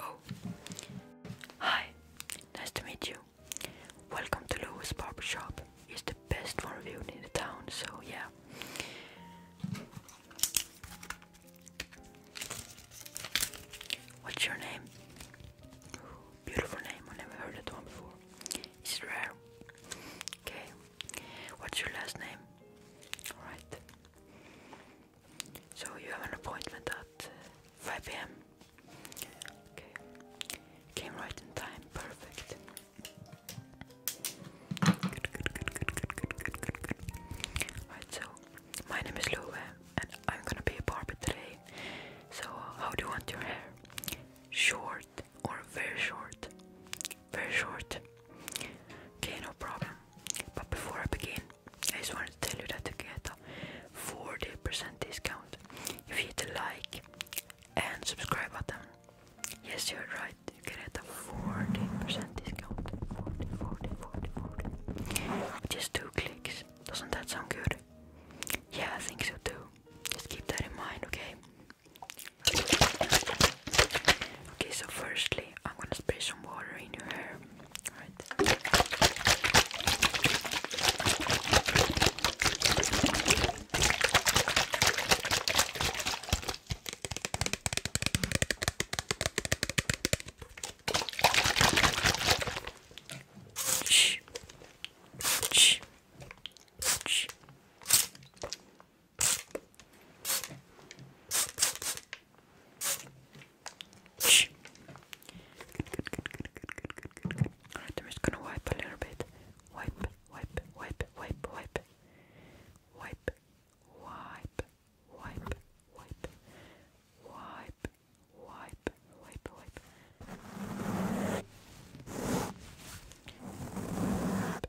Oh. Hi. Nice to meet you. Welcome to Louis Barbershop. It's the best one reviewed in the town, so yeah. What's your name? beautiful name, I never heard that one before. It's rare. Okay. What's your last name? Alright. So you have an appointment at 5 p.m. came right in time. Perfect. Alright, so my name is Lou and I'm gonna be a barber today. So uh, how do you want your hair? Short or very short? very short. Okay, no problem. But before I begin, I just wanted to tell you that you get a 40% discount if you hit the like and subscribe button. Yes, you're right, you get a 40% discount. just two clicks. Doesn't that sound good? Yeah, I think so too. Just keep that in mind, okay? Okay, so firstly, I'm gonna spray some water in your hair. Alright. Shh. Shh. Shh. Shh. Good, Alright, I'm just gonna wipe a little bit. Wipe, wipe, wipe, wipe, wipe. Wipe, wipe, wipe, wipe. Wipe, wipe, wipe, wipe.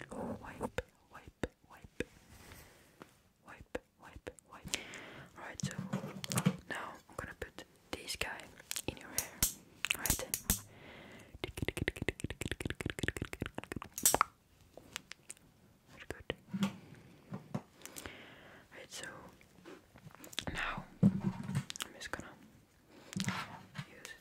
Wipe, wipe, wipe, wipe, wipe, wipe. Alright, so now I'm gonna put this guy in your hair. Alright. good. Alright, so now I'm just gonna use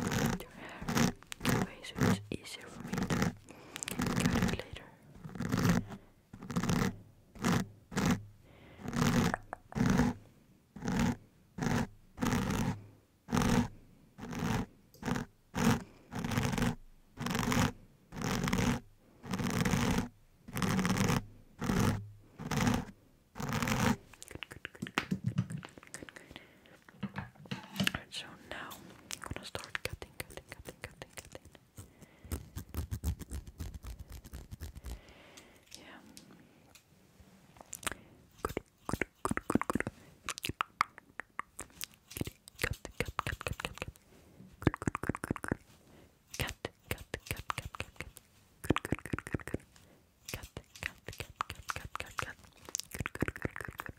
your hair so it's easier for me to cut it later. Alright, so now I'm gonna start cutting, cutting, cutting, cutting, cutting. Yeah. Good, good, good, good, good. Cut, cut, cut, cut, cut, cut. Good, good, good, good, good. Cut, cut, cut, cut, cut, cut. Good, good, good, good, good. Cut, cut, cut, cut, cut, cut, cut. Good, good, good, good, good.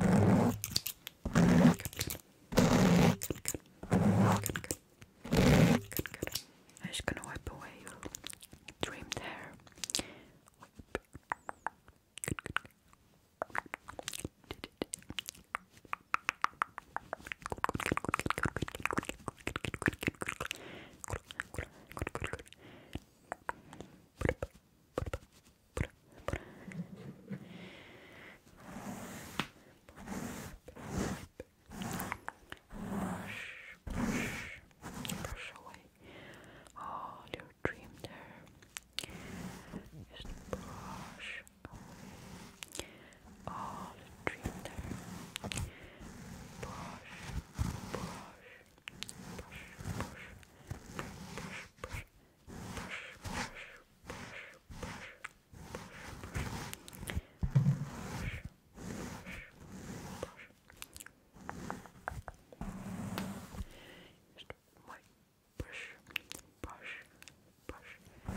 I'm just gonna wipe away your dream. There brush, brush away all your dream there. Just brush all the dream there. brush, brush, brush, brush, brush. brush. Just white brush, brush, brush.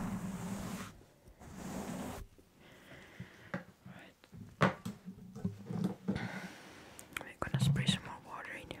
Right. We're gonna spray some more water in here.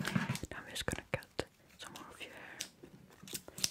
Now I'm just gonna cut some more of your hair. Okay.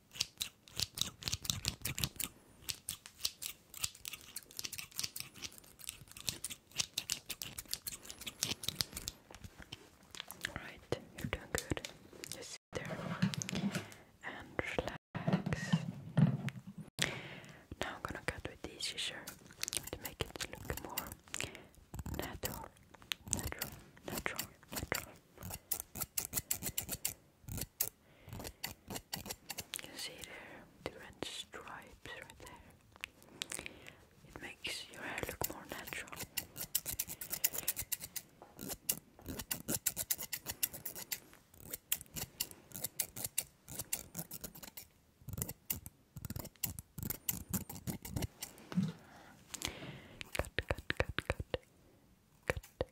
Alright, you're doing good. Just sit there and relax. Now I'm gonna cut with this scissor to make it look more natural, natural, natural, natural. You see there the stripes right there. It makes your hair look more natural. Cut, cut, cut, cut, cut,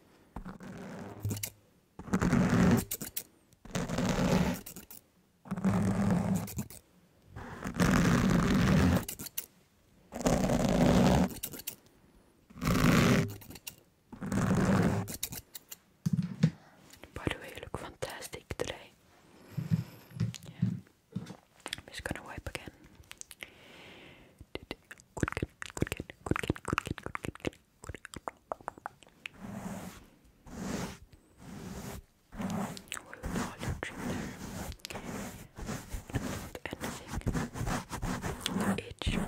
By you look fantastic today. I'm just gonna wipe again kid, You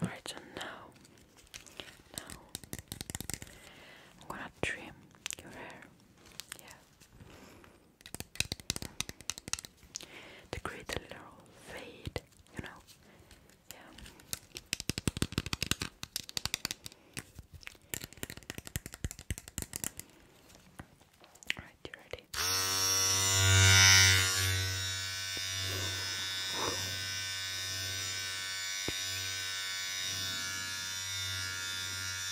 Alright, so now, now I'm gonna trim your hair. Yeah, to create a fade, you know. Yeah. Alright, you ready?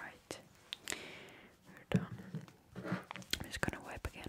Right, we're done. I'm just gonna wipe again.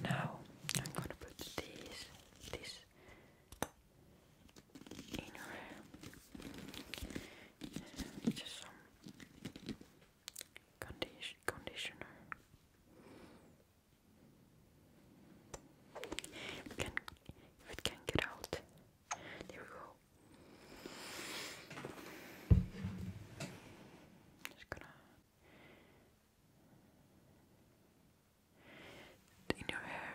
Now I'm gonna put this this in your Just some conditioner. can if it can get out. There we go. Just gonna in your hair.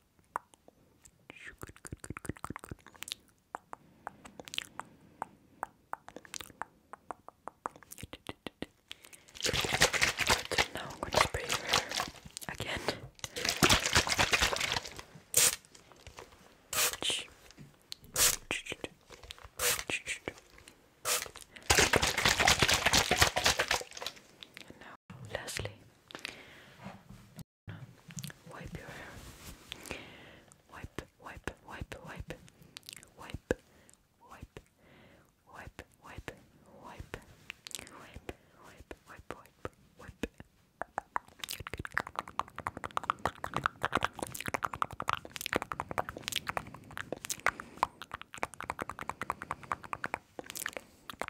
Good, good, Now I'm going to spray again. now, lastly, Wipe your hair. Wipe, wipe, wipe, wipe, wipe, wipe, wipe, wipe, wipe, wipe, wipe, wipe, wipe, wipe. Good, good.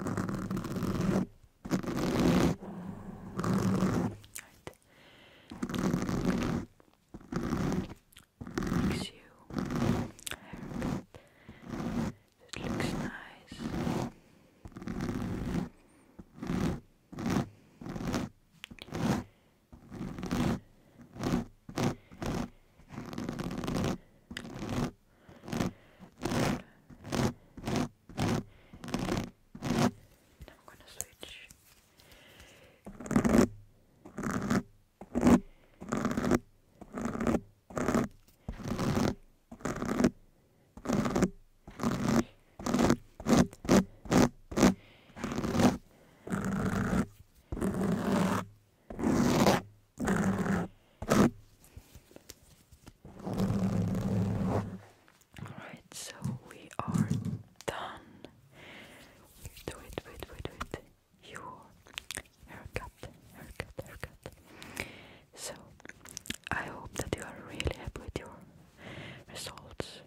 Right. Makes you happy. It looks nice. I'm gonna switch. Alright, so we are done. Wait, wait, wait, wait. You haircut, haircut, haircut. So, I hope that you are really happy with your results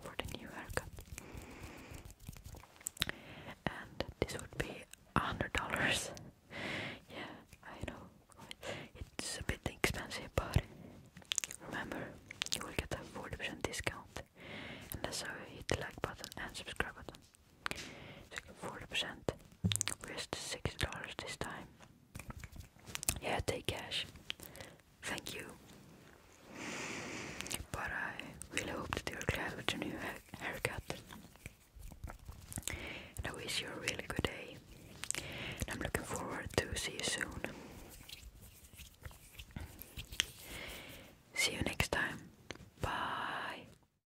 for the new haircut. And this would be $100. yeah, I know. It's a bit expensive, but remember, you will get a 40% discount. And that's also hit the like button and subscribe button. Second 40%. Risk $6 this time. Yeah, take cash. Thank you. But I really hope that you're glad with your new haircut. I wish you a really good day. I'm looking forward to see you soon. See you next time. Bye.